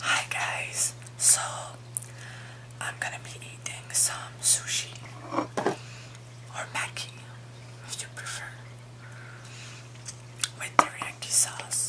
Hi guys, so I'm gonna be eating some sushi or maki if you prefer with teriyaki sauce.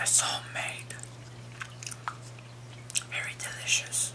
It's homemade, very delicious.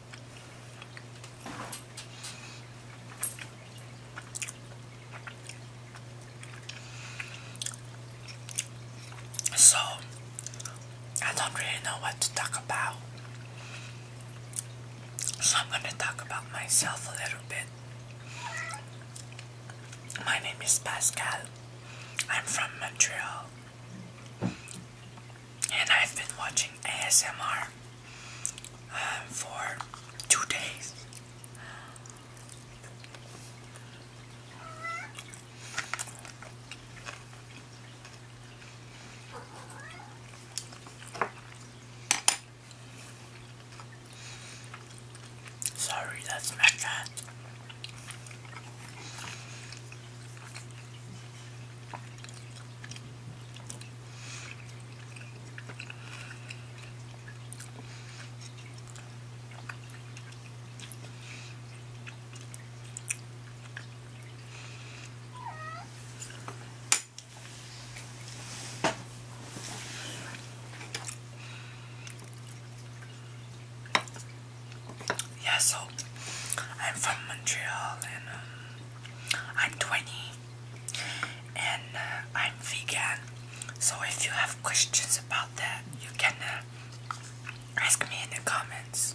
So, I don't really know what to talk about. So, I'm gonna talk about myself a little bit. My name is Pascal. I'm from Montreal. And I've been watching ASMR um, for two days. Sorry, that's my cat. Yeah, so I'm from Montreal and um, I'm 20 and uh, I'm vegan. So if you have questions about that, you can uh, ask me in the comments.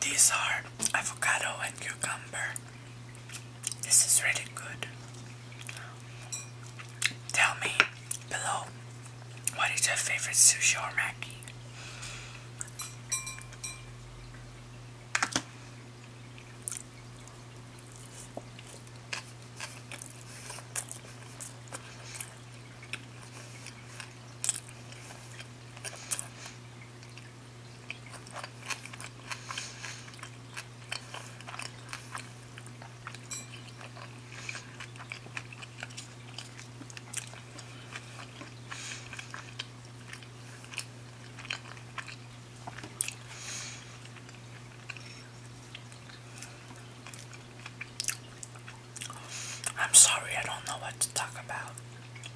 These are avocado and cucumber. This is really good. Tell me below what is your favorite sushi or maki? I'm sorry, I don't know what to talk about.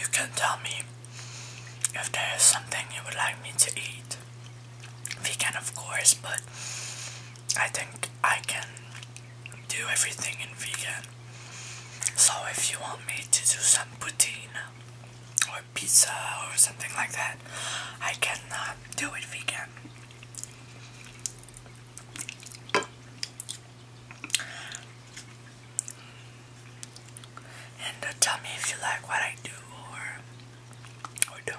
You can tell me if there is something you would like me to eat. We can, of course, but I think I can do everything in vegan. So, if you want me to do some poutine pizza or something like that. I cannot do it vegan. And tell me if you like what I do or or don't.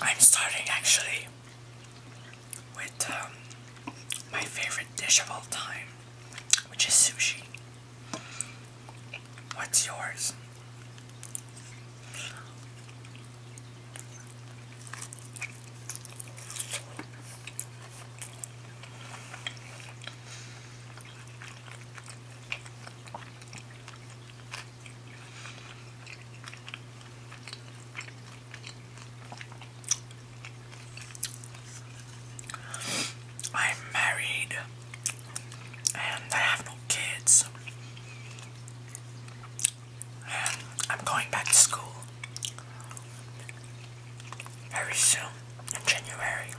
I'm starting actually with um, my favorite dish of all time, which is sushi. What's yours? I'm married and I have no kids. I'm going back to school very soon in January.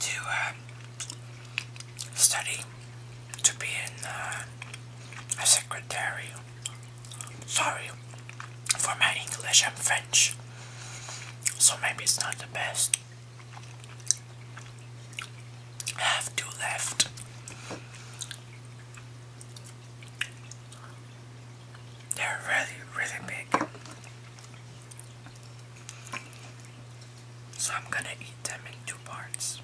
To uh, study to be uh, a secretary. Sorry for my English, I'm French, so maybe it's not the best have two left. They're really, really big. So I'm gonna eat them in two parts.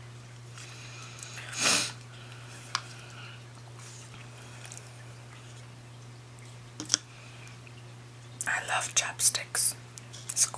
I love chopsticks. It's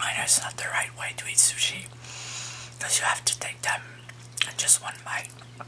I know it's not the right way to eat sushi because you have to take them in just one bite.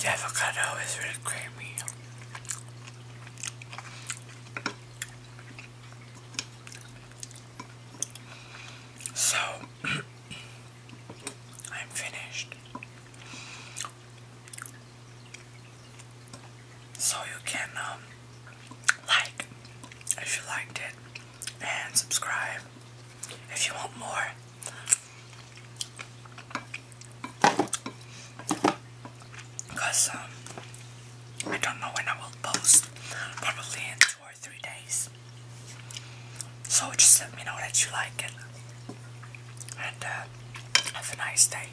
The avocado is really creamy. So I'm finished so you can um, like if you liked it and subscribe if you want more. Because um, I don't know when I will post, probably in two or three days. So just let me know that you like it. And uh, have a nice day.